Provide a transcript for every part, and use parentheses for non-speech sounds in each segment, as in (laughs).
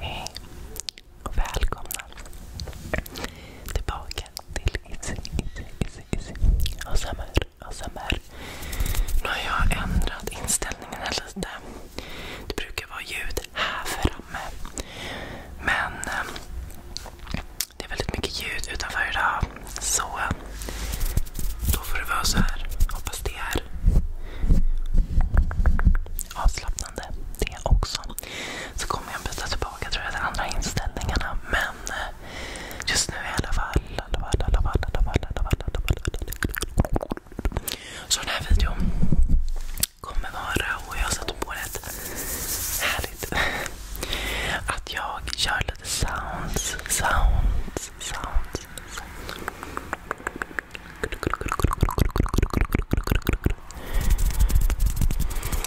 Hej och välkomna tillbaka till ASMR, Nu har jag ändrat inställningen lite. Det brukar vara ljud här framme. Men ehm, det är väldigt mycket ljud utanför idag. Så då får det vara så här. Hoppas det är avslappnande det också. Så kommer jag byta tillbaka tror jag till andra inställningarna. Men eh, just nu i alla fall. Så den här videon kommer vara, och jag satte på rätt härligt, (laughs) att jag kör lite sounds, sounds,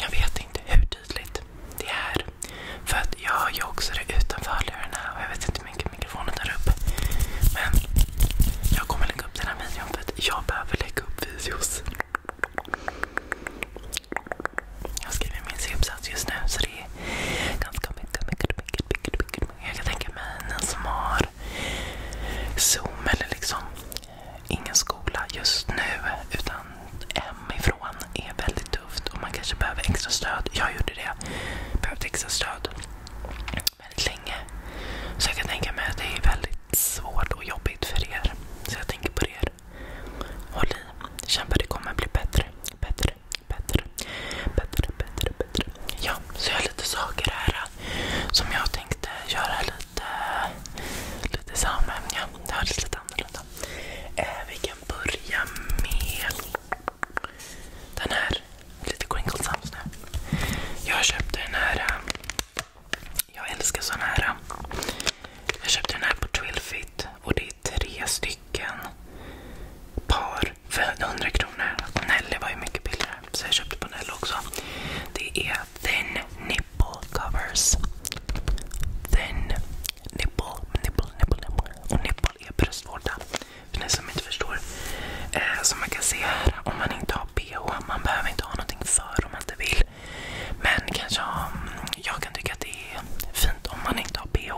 jag vet inte hur tydligt det är. För jag har ju också det utanför hörlurarna och jag vet inte hur mycket mikrofonen tar upp. Men jag kommer lägga upp den här videon för att jag behöver lägga upp videos. Jag skriver min C-uppsats just nu så så det är ganska mycket, mycket, mycket, mycket, mycket. Jag kan tänka mig någon som har Zoom eller liksom eh, ingen skola just nu utan hemifrån är väldigt tufft och man kanske behöver extra stöd. Jag gjorde det. Behövde extra stöd väldigt länge. Så jag kan tänka mig att det är väldigt svårt och jobbigt för er. Så jag tänker på er. Håll i. Kämpa, det kommer bli bättre. Bättre, bättre, bättre, bättre, bättre, Ja, så jag har lite saker här äh, som jag tänkte göra lite, lite samämne. Det hördes lite annorlunda. Äh, vi kan börja med den här. Lite Crinkle Jag köpte den här. Äh, jag älskar sån här. Jag köpte den här på Twilfit och det tre stycken par för 100 kronor. Och Nelly var ju mycket billigare så jag köpte på Nelly också. Det är Thin Nipple Covers. Thin nipple, nipple, nipple, nipple. Och nipple är bröstvårta. För ni som inte förstår. Eh, som man kan se här, om man inte har bh. Man behöver inte ha någonting för om man inte vill. Men kanske ha, jag kan tycka att det är fint om man inte har bh.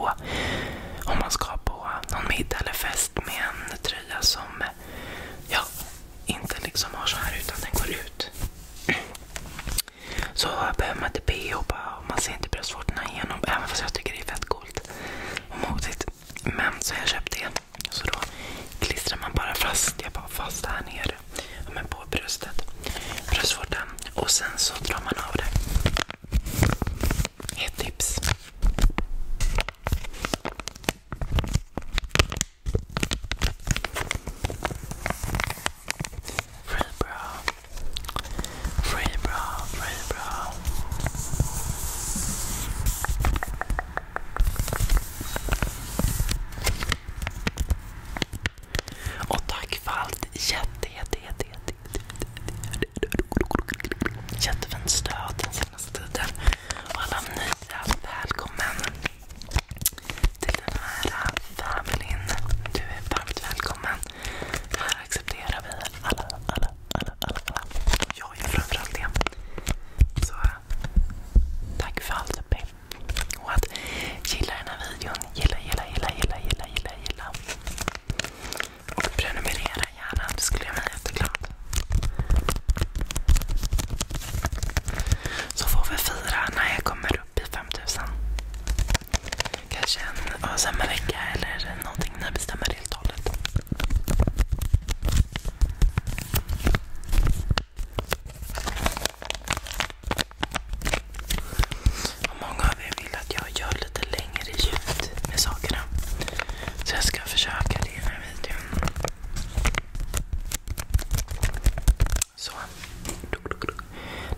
Om man ska på någon middag eller fest med en tröja som ja, inte liksom har så här utan den går ut. Så behöver man inte bh och man ser inte bröstvårtorna igenom. Även fast jag tycker det är fett coolt och modigt. Men så har jag köpt det. Så då klistrar man bara fast. Jag bara fast här nere. Men på bröstet. Bröstvårtan. Och sen så drar man av det. Ett tips. Free bra. Free Och tack för allt jätte, jätte, jätte, jätte, Jättefint stöd den senaste tiden. Och alla nya, välkommen till den här familjen. Du är varmt välkommen. Här accepterar vi alla, alla, alla, alla. Jag är framförallt det. Så tack för allt Pim. Och att gilla den här videon. Gilla, gilla, gilla, gilla, gilla, gilla. gilla. Och prenumerera gärna, det skulle jag bli jätteglad. Så får vi fira när jag kommer upp i 5000. Kanske en avsämma vecka eller någonting när jag bestämmer helt och hållet många av er vill att jag gör lite längre ljud med sakerna. Så jag ska försöka det i den här videon.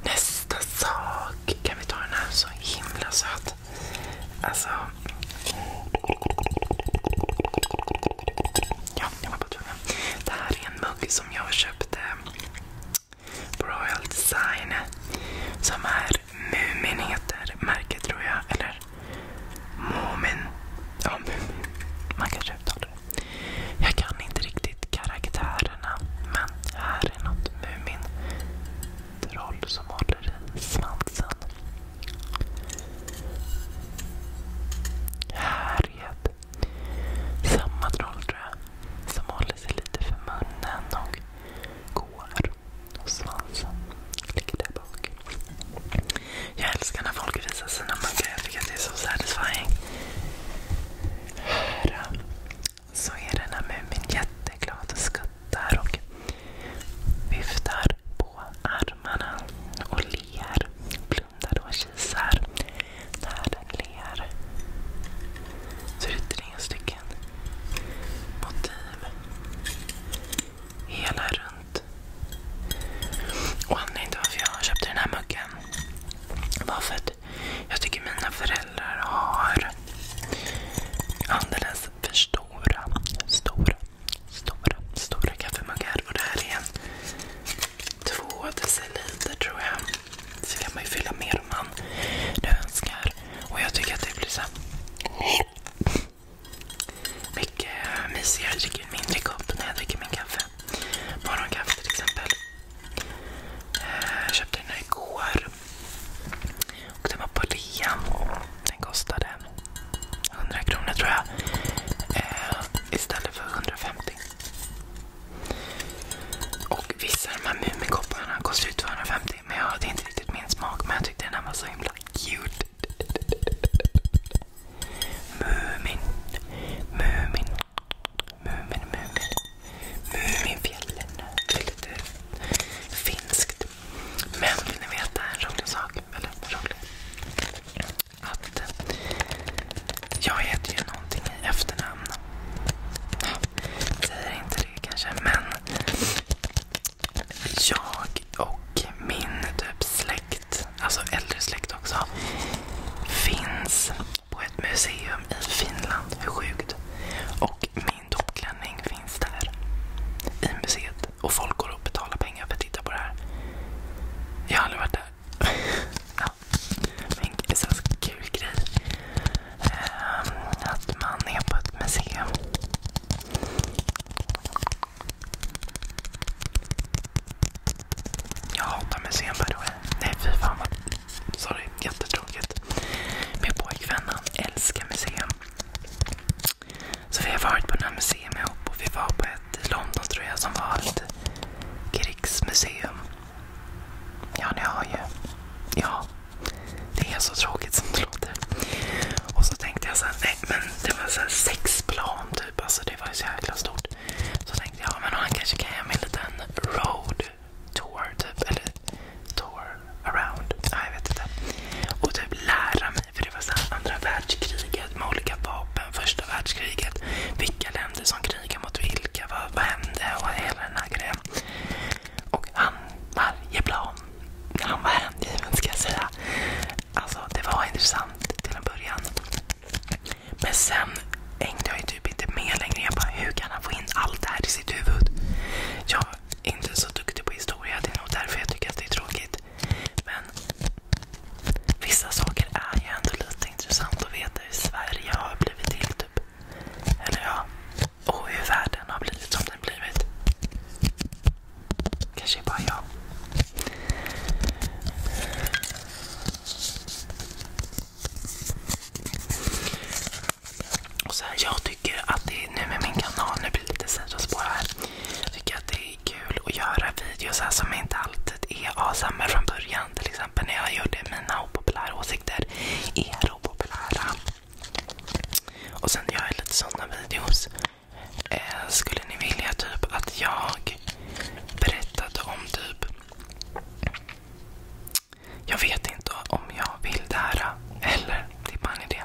Nästa sak. Kan vi ta den här? Så himla söt. Alltså. Det här är en mugg som jag köpte Royal Design. Som är Mumin heter märket tror jag. Eller Mumin. Ja, Mumin. Man kanske uttalar det. Jag kan inte riktigt karaktärerna. Men här är något Mumin. Troll som håller i svansen. Här Härjed. Samma troll tror jag. Som håller sig lite för munnen och går. Och svansen ligger där bak. Jag älskar när folk visar sina muggar. Jag tycker att det är så satisfying. så är den här Mumin jätteglad och skuttar och viftar på armarna och ler. Blundar och kisar fler. Så det är tre stycken motiv. Hela runt. Och anledningen till varför jag köpte den här muggen var för att jag tycker mina föräldrar har alldeles för stora, stora, stora, stora kaffemuggar. Och det här är en två deciliter tror jag. Så kan man ju fylla mer om man nu önskar. Och jag tycker att det blir så här, mycket mysigare. Jag dricker mindre kopp när jag dricker min kaffe. Morgonkaffe till exempel. Eh, jag köpte den här igår. Och den var på rea. Den kostade 100 kronor tror jag. Eh, istället för 150. Och vissa av de här Mumikopparna kostar ju 250 men jag, det är inte riktigt min smak. Men jag tyckte den här var så himla cute. Mumin. Mumin. Mumin, Mumin. Muminfjällen. Det är lite finskt. Men vill ni veta en rolig sak? Eller rolig? Att jag heter ju någonting i efternamn säger inte det kanske, men jag och min typ släkt, alltså äldre släkt också, finns på ett museum i Finland. Hur sjukt? Och min dopklänning finns där i museet. Och folk går och betalar pengar för att titta på det här. Jag har aldrig varit där. (laughs) Men en sån kul grej. Ehm, att man är på ett museum. Jag hatar museum by Nej fy fan vad... Sorry, jättetråkigt. Min pojkvän han älskar museum. Så vi har varit på några museum ihop och vi var på ett i London tror jag som var ett krigsmuseum. Ja, ni har ju. Ja. Det är så tråkigt som det låter. Och så tänkte jag så här, nej men det var så sex plan typ. Alltså det var ju så jäkla stort. Så tänkte jag, ja, men han kanske kan göra mig en liten road tour typ. Eller tour around. Ja, jag vet inte. Och typ lära mig. För det var så här andra världskriget med olika vapen. Första världskriget. Vilka länder som krigar mot vilka. Vad, vad hände? Och hela den här grejen. Och han, Marjeplan, han var hängiven ska jag säga. Alltså det var intressant till en början. Men sen hängde jag ju typ inte med längre. Jag bara, hur kan han få in allt det här i sitt huvud? Jag är inte så duktig på historia. Det är nog därför jag tycker att det är tråkigt. Men vissa saker är ju ändå lite intressant att veta hur Sverige har blivit till. typ. Eller ja, och hur världen har blivit som den blivit. Kanske bara jag. jag tycker att det är kul att göra videos som inte alltid är asamer från början. Till exempel när jag gjorde mina opopulära åsikter åsikter är opopulära. Och sen gör jag lite sådana videos. Eh, skulle ni vilja typ att jag berättade om typ... Jag vet inte om jag vill det här. Eller, det är bara en idé.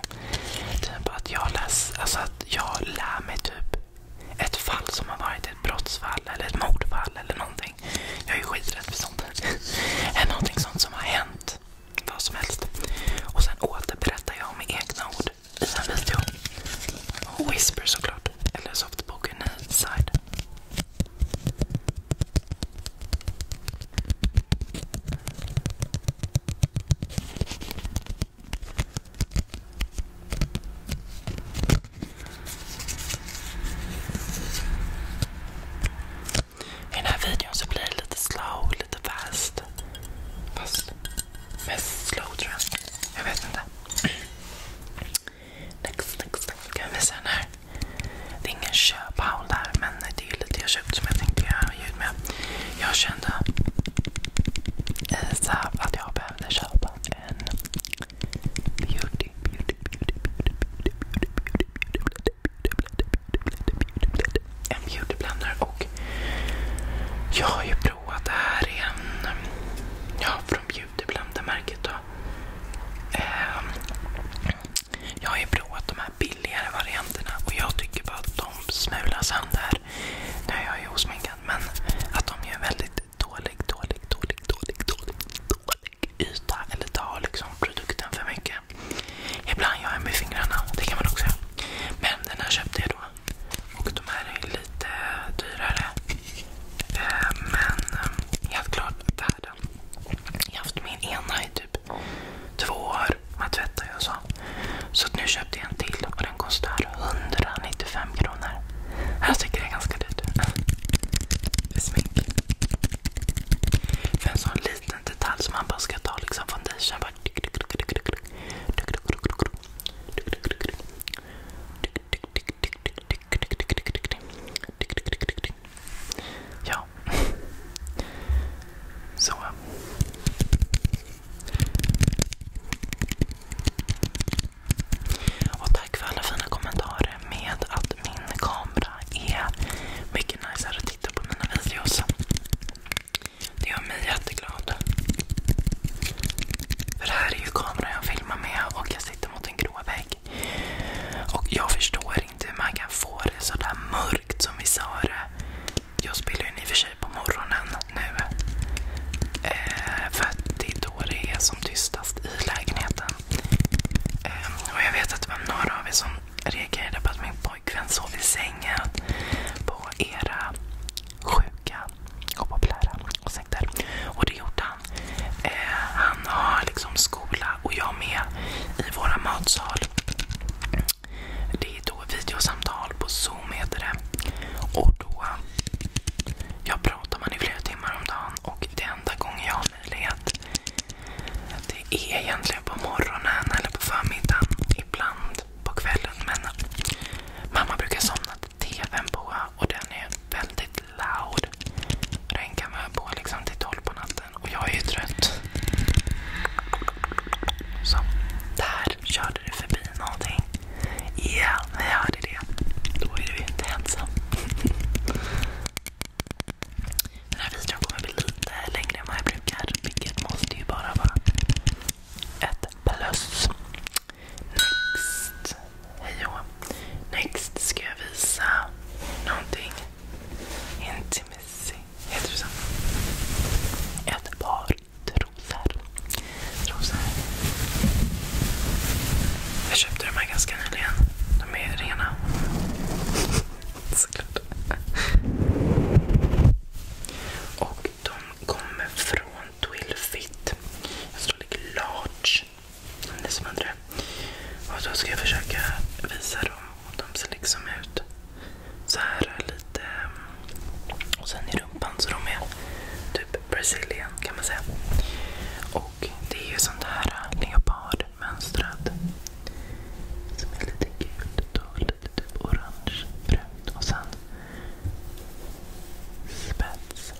Typ att jag, läs, alltså att jag lär mig typ ett fall som har varit ett brottsfall eller ett mordfall eller någonting någonting. Jag är skiträdd för sånt här. Är (laughs) någonting sånt som har hänt. Vad som helst. Och sen återberättar jag med egna ord i en video. whisper såklart. Eller softboken Side. I den här videon så blir det lite slow, lite fast. Fast mest slow tror jag. Jag vet inte. Next, Kan jag visa den här? Det är ingen köphaul där, men det är lite jag köpt som jag tänkte göra ljud med. Jag kände eh, så att jag behövde köpa en beauty, beauty, en beautyblender och jag har ju provat det här i en... Ja, från beautyblender-märket då. Ehm, jag har ju provat de här billigare varianterna och jag tycker bara att de smular sönder. Nu är jag ju osminkad men att de gör väldigt dålig, dålig, dålig, dålig, dålig, dålig, yta eller ta liksom produkten för mycket. Ibland gör jag med fingrarna. Det kan man också göra. Men den här köpte jag då. Och de här är lite dyrare. Eh, men eh, helt klart värda. Jag har haft min ena i typ två år. Man tvättar ju och så. Så nu köpte jag en till och den kostar 195 kronor. Jag tycker det är ganska dyrt. För en sån liten detalj som man bara ska ta foundation. Ja. Så. Och tack för alla fina kommentarer med att min kamera är mycket niceare att titta på mina videos. Det gör mig jätteglad. För det här är ju kameran jag filmar med och jag sitter mot en grå vägg. Och jag förstår inte hur man kan få det sådär mörkt som vi sa det. Jag spelar ju i och för sig på morgonen nu. Eh, för att det är då det är som tystast i lägenheten. Ehm, och jag vet att det var några av er som reagerade på att min pojkvän sov i sängen på era sjuka och populära åsikter. Och det gjorde han. Ehm, han har liksom skola och jag med i våra matsal. Det är då videosamtal på Zoom heter det. Och då jag pratar man i flera timmar om dagen och det enda gången jag möjlighet. Det är egentligen på morgonen eller på förmiddagen. Ibland på kvällen. Men mamma brukar somna till tvn på och den är väldigt loud. Den kan vara på liksom till tolv på natten och jag är ju trött. Så, där körde det förbi någonting. Ja, yeah, jag hörde det. Då är du inte ensam. (laughs) Den här videon kommer bli lite längre än vad jag brukar. Vilket måste ju bara vara ett plus. Next. Hej Next ska jag visa någonting. Intimacy. Heter det så? Ett par Trosor. Jag köpte de här ganska nyligen. De är rena. Såklart. Och de kommer från Twilfit. Jag tror det ligger Large. Om som undrar. Och då ska jag försöka visa dem. de ser liksom ut så här lite. Och sen i rumpan. Så de är typ Brazilian kan man säga. Och det är ju sånt här leopard mönstrad. Som är lite gult och lite typ orange, brunt och sen spets.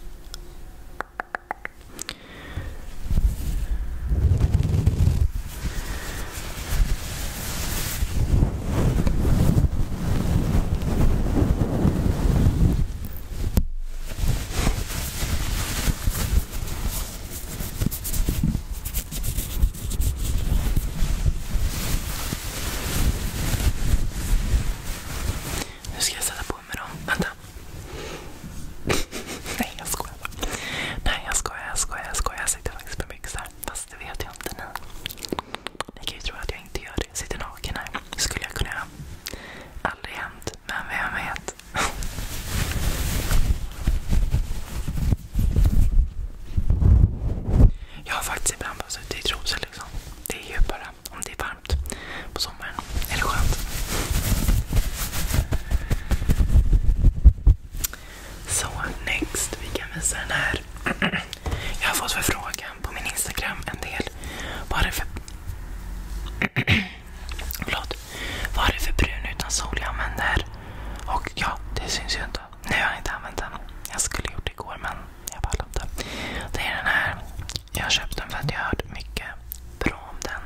Nu ska jag sätta på mig dem. Vänta. (laughs) Nej, jag skojar bara. Nej, jag skojar, jag skojar, jag sitter faktiskt med byxor. Fast det vet jag inte nu. Ni kan ju tro att jag inte gör det. Jag sitter naken här. skulle jag kunna Aldrig hänt. Men vem vet? Jag har faktiskt ibland bara suttit i trosor. Liksom. Det är djupare om det är varmt på sommaren. Eller skönt. Så next. Vi kan visa den här. Jag har fått förfrågan på min Instagram en del. Bara för Förlåt. Vad är det för brun utan sol jag använder? Och ja, det syns ju inte. Nu har jag inte använt den. Jag skulle gjort det igår men jag pallar inte. Det är den här. Jag har köpt den för att jag hört mycket bra om den.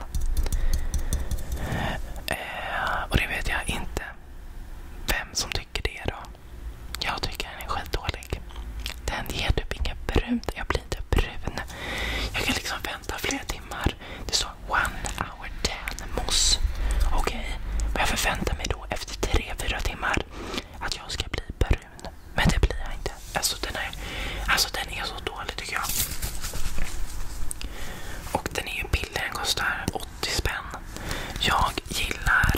Eh, och det vet jag inte vem som tycker det då. Jag tycker den är skitdålig. Den ger typ inget brunt. Jag jag kan liksom vänta flera timmar. Det står one hour tan mousse. Okej, okay. jag förväntar mig då efter tre fyra timmar att jag ska bli brun. Men det blir jag inte. Alltså den är, alltså, så dålig tycker jag. Och den är ju billig. Den kostar 80 spänn. Jag gillar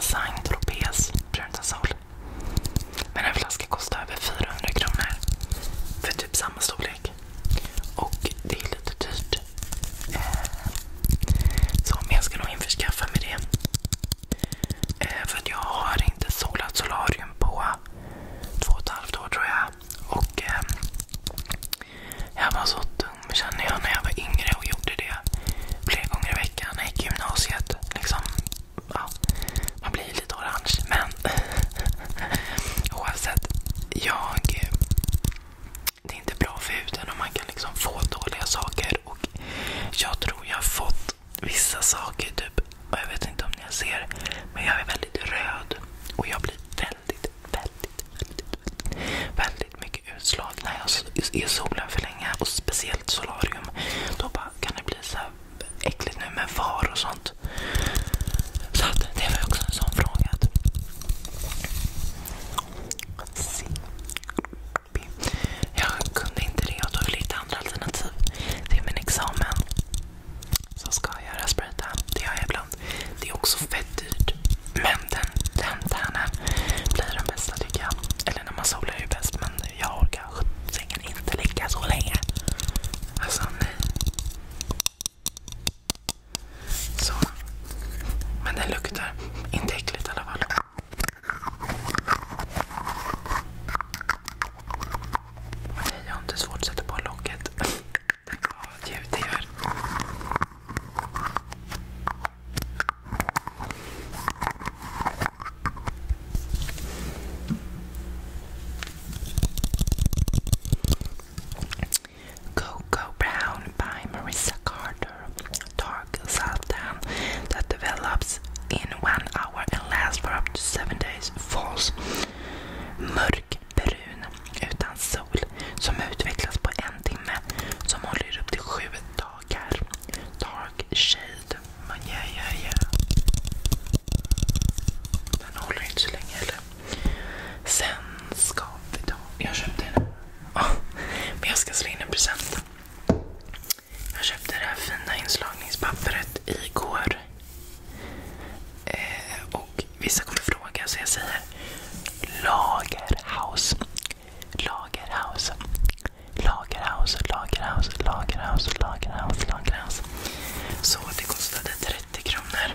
Saint Tropez brun sol. Men en flaska kostar över 400 kronor. För typ samma storlek. Och det är lite dyrt. Eh, så jag ska nog införskaffa mig det. Eh, för att jag har inte solat solarium på två och ett halvt år tror jag. Och ehm, jag var så dum känner jag när jag var yngre och gjorde det flera gånger i veckan. Jag gick i gymnasiet. Liksom, ja, man blir ju lite orange. Men (laughs) oavsett. Jag, det är inte bra för huden och man kan liksom få dåliga saker. och Jag tror jag har fått vissa saker. typ och Jag vet inte om ni ser. Men jag är väldigt röd. Och jag blir väldigt, väldigt, väldigt, väldigt mycket utslag när jag är i solen för länge. Och speciellt solarium. Då bara kan det bli så här äckligt nu med VAR och sånt. Så att det var också en sån fråga. Jag kunde inte det och tog lite andra alternativ till min examen. Så ska jag göra spraytan. Det gör jag ibland. Det är också fett dyrt. Men den, den tärnen blir den bästa tycker jag. Eller när man solar är ju bäst. Men nu. Jag orkar sjuttsingen inte ligga så länge. Alltså nej. Så. Men det luktar inte äckligt i alla fall. Men nej, jag har inte svårt att sätta på locket. Tänk vad ljud det gör. Cocoa Brown by Marissa Carter. Dark Satan that develops in one hour and lasts for up to seven days. False. Mörkbrun utan sol som utvecklas på en timme som håller upp till sju dagar. Dark Shade. Den håller inte så länge heller. Sen ska vi ta... Jag köpte den. Oh, men jag ska slå in en present. Jag köpte det här fina inslagningspappret igår. Eh, och vissa kommer fråga så jag säger Lagerhaus. Lagerhaus. Lagerhaus. Lagerhaus, Lagerhaus, Lagerhaus, Lagerhaus, Lagerhaus. Så det kostade 30 kronor.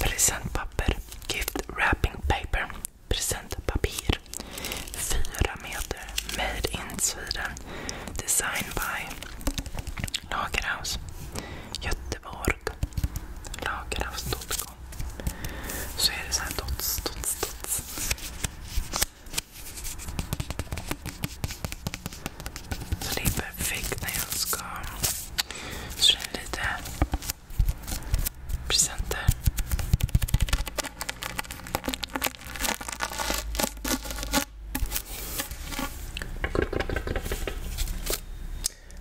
Presentpapper. Gift wrapping paper. Presentpapir. 4 meter. Made in Sweden. Design by Lagerhaus. Göteborg. Lagerhaus.com. Så är det så här dots, dots, dots. Så det är perfekt när jag ska slå in lite presenter.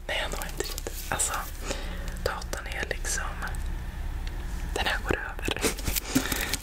Nej, jag når inte riktigt. Alltså, datorn är liksom... Den här går över.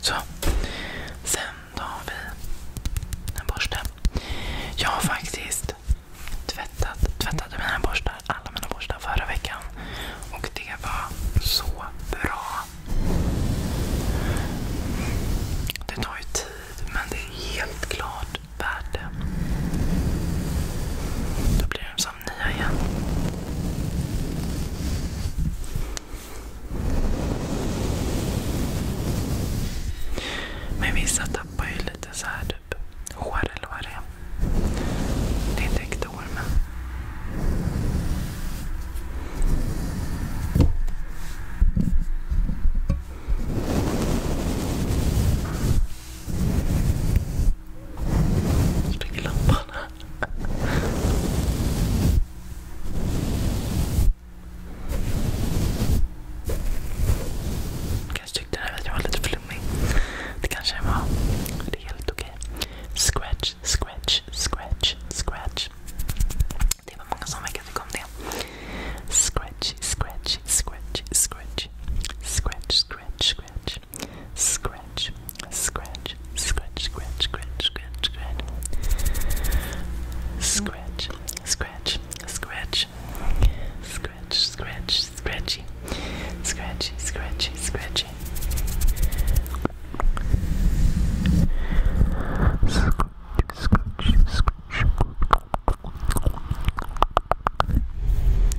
Så. Sen då har vi en borste. Jag har faktiskt alla mina borstar förra veckan. Och det var så bra. Det tar ju tid, men det är helt klart värt det somnar jag. Men vissa tappar ju lite så här typ hår eller vad det är. Det är inte riktigt hår men... Stäng lampan Kanske tyckte där att var lite flummig. Det kanske var. Det är helt okej. Scratch, scratch, scratch, scratch. Det var många som verkade tycka om det. Scratch, scratch, scratch, scratch. Scratch, scratch, scratch. Scratch, scratch, scratch, scratch, scratch, scratch, scratch. Scratch, scratch, scratch. Scratch, scratch, scratchy. Scratchy, scratchy, scratchy. Scratch, scratch, scratch.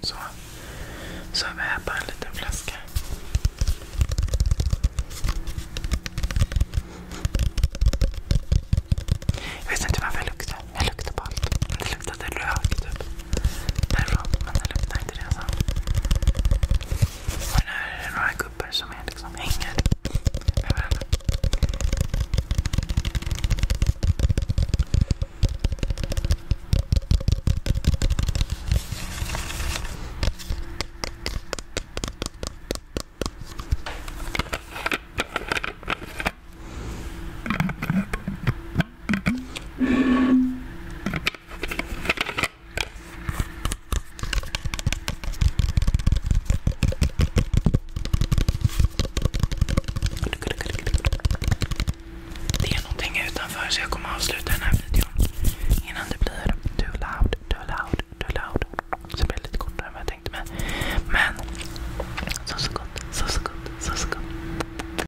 Så. Så har vi här bara en liten flaska. Jag vet inte varför jag luktar. Jag luktar på allt. Det luktade rök typ därifrån. Men det luktar inte det. Alltså. Och det här är några gubbar som är liksom hänger överallt. Det är någonting utanför så jag kommer avsluta den här videon innan det blir too loud, too loud, too loud. Så blir det lite kortare än vad jag tänkte mig. Men så så gott, så så gott, så så gott.